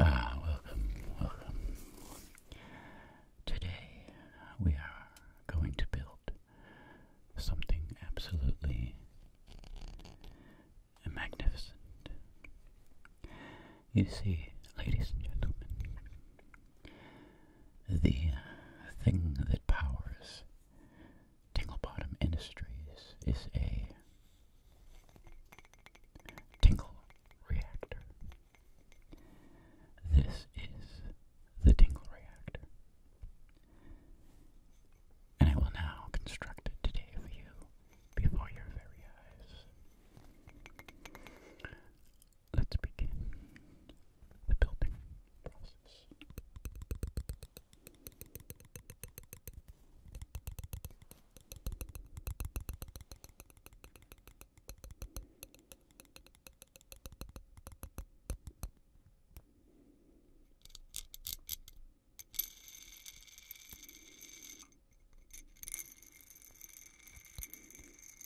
Ah, welcome, welcome. Today we are going to build something absolutely magnificent. You see, ladies and gentlemen, the thing that powers Tinglebottom Industries is a tingle reactor. This is the tingle reactor. And I will now construct it today for you before your very eyes let's begin the building process.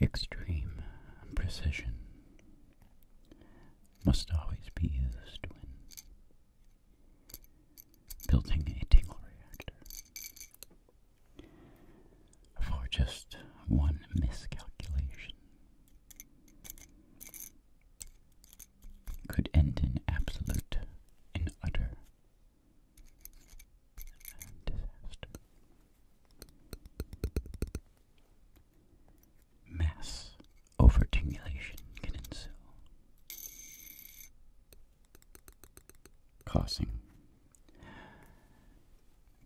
Extreme precision must always be used when building a tingle reactor. For just one miscalculation could end in absolute and utter disaster. Mass overstimulation can ensue, causing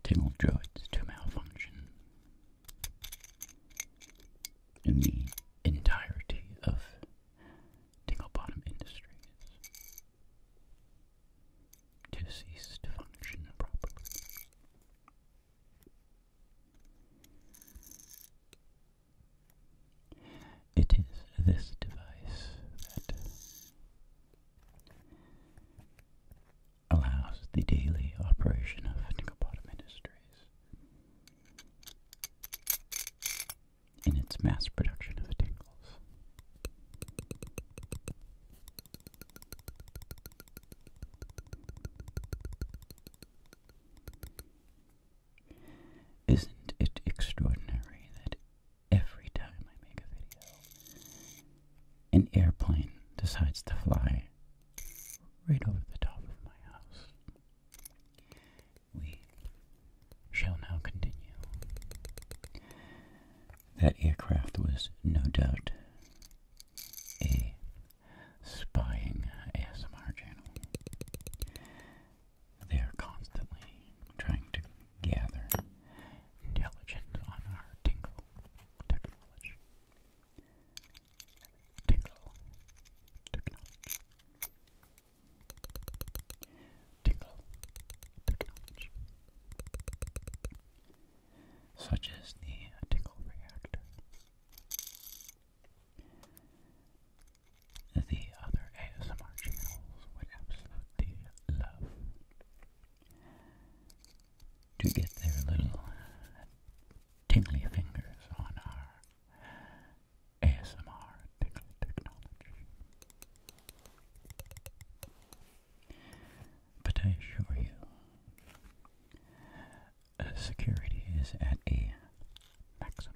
tingle joints to malfunction in the entirety of tingle industries to cease to function properly. It is this device that allows the daily operation of Nicobottom Industries in its mass production of tingles. Isn't it extraordinary that every time I make a video, an airplane decides to fly right over the top of my house? We shall now continue. That aircraft was no doubt a spying ASMR channel. They are constantly trying to gather intelligence on our tingle technology tickle the such as the tickle reactor. The other ASMR channels would absolutely love to get their little tingly fingers on our ASMR tickle technology. But I assure you, uh, security is at a maximum.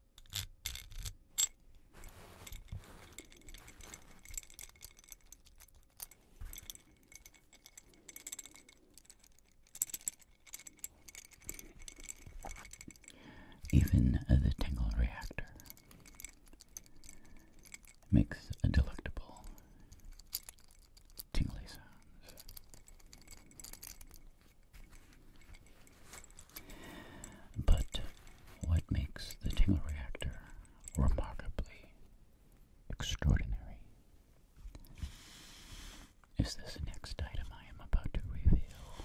Even the Tingle Reactor makes a delectable tingly sounds. But what makes the Tingle reactor remarkably extraordinary is this next item I am about to reveal.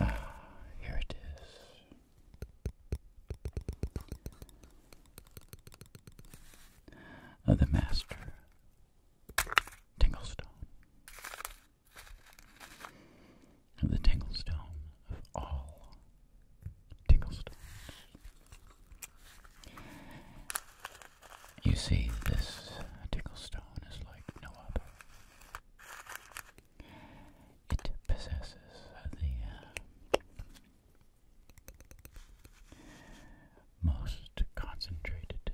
Ah, here it is. the Master Tinglestone. the Tinglestone of all Tinglestones. You see, this Tinglestone is like no other. It possesses the uh, most concentrated,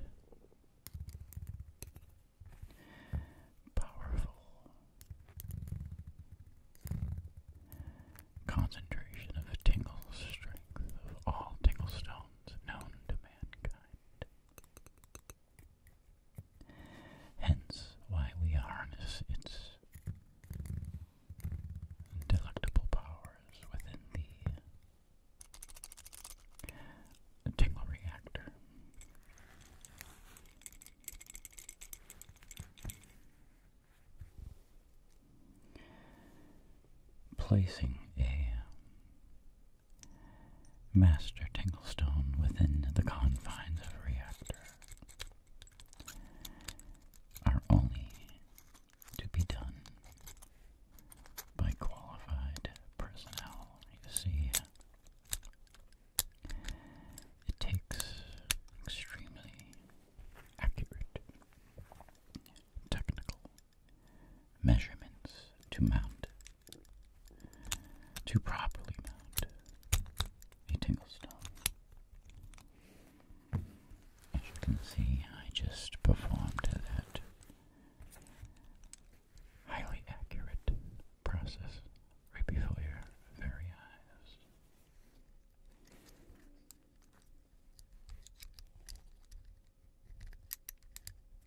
powerful concentration of tingle strength of all tingle stones known to mankind. Hence why we harness its delectable powers within the tingle reactor. Placing a master Tinglestone within the confines of a Reactor are only to be done by qualified personnel. You see, it takes extremely accurate technical measurements to mount to properly mount a tingle As you can see, I just performed that highly accurate process right before your very eyes.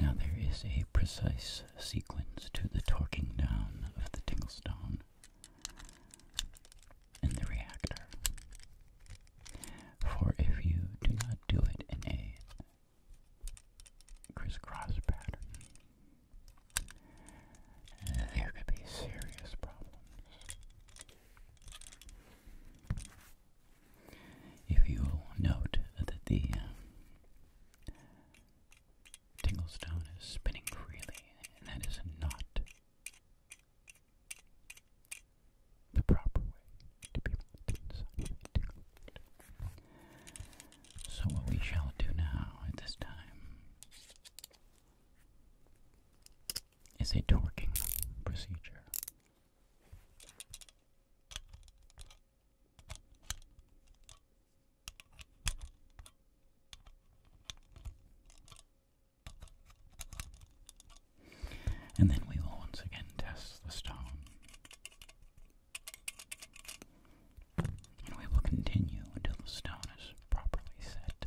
Now there is a precise sequence to the torquing down of the Tinglestone in the reactor. For if you do not do it in a crisscross pattern, there could be serious problems. If you'll note that the uh, is spinning freely, and that is not the proper way to be inside of tingle. So what we shall do now at this time is a torquing procedure. And then we will once again test the stone. And we will continue until the stone is properly set.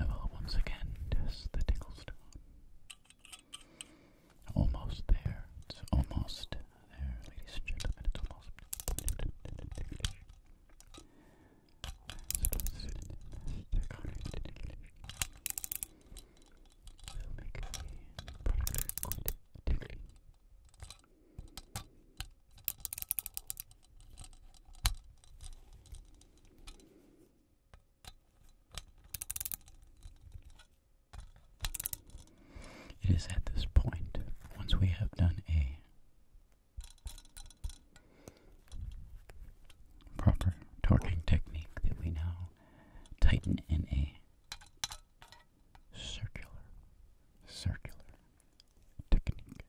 I will once again test the tickle stone. Almost there. It's almost there, ladies and gentlemen. It's almost it is at this point, once we have done a proper torquing technique, that we now tighten in a circular, circular technique.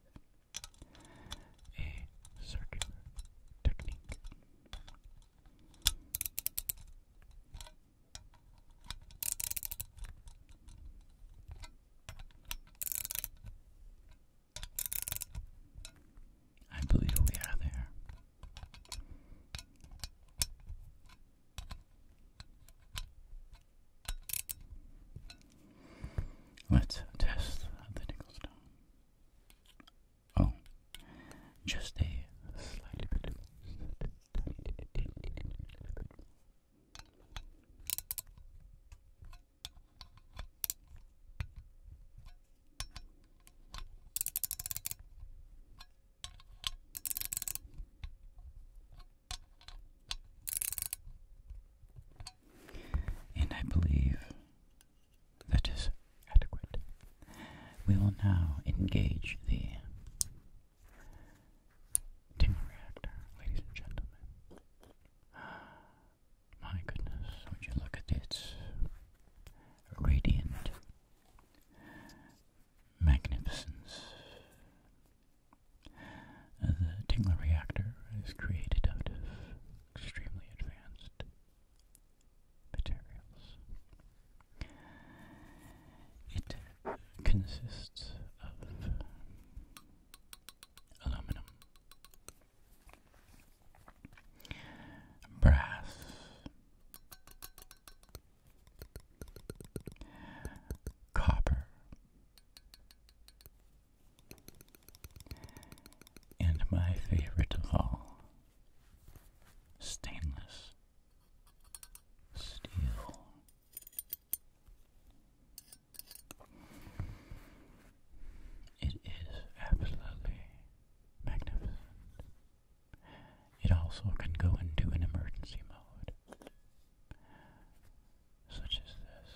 A circular technique. I believe we are there. Let's test the nickel Oh, just a slightly bit and I believe that is adequate. We will now engage the Tinger reactor, ladies and gentlemen. My goodness, would you look at its radiant magnificence. Uh, the Tingler reactor is created out of extremely advanced materials. It consists of aluminum, brass, Copper and my favorite of all, stainless steel. It is absolutely magnificent. It also can go into an emergency mode, such as this.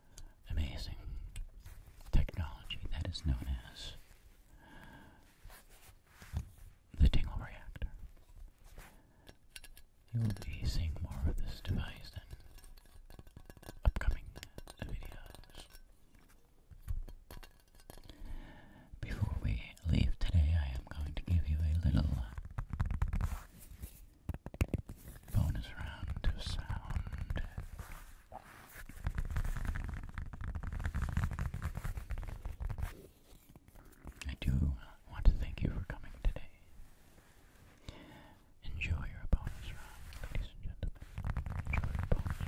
amazing technology that is known as the Dingle Reactor. You will be seeing more of this device in upcoming videos. Before we leave today, I am going to give you a little bonus round of sound I do want to thank you for coming today. Enjoy your bonus round, ladies and gentlemen. Enjoy bonus round.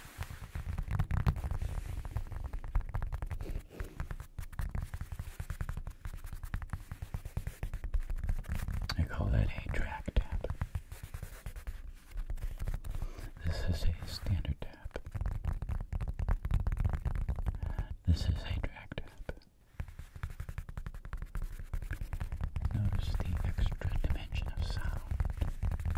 I call that a drag tap. This is a standard tap. This is a drag tap. Notice the extra dimension of sound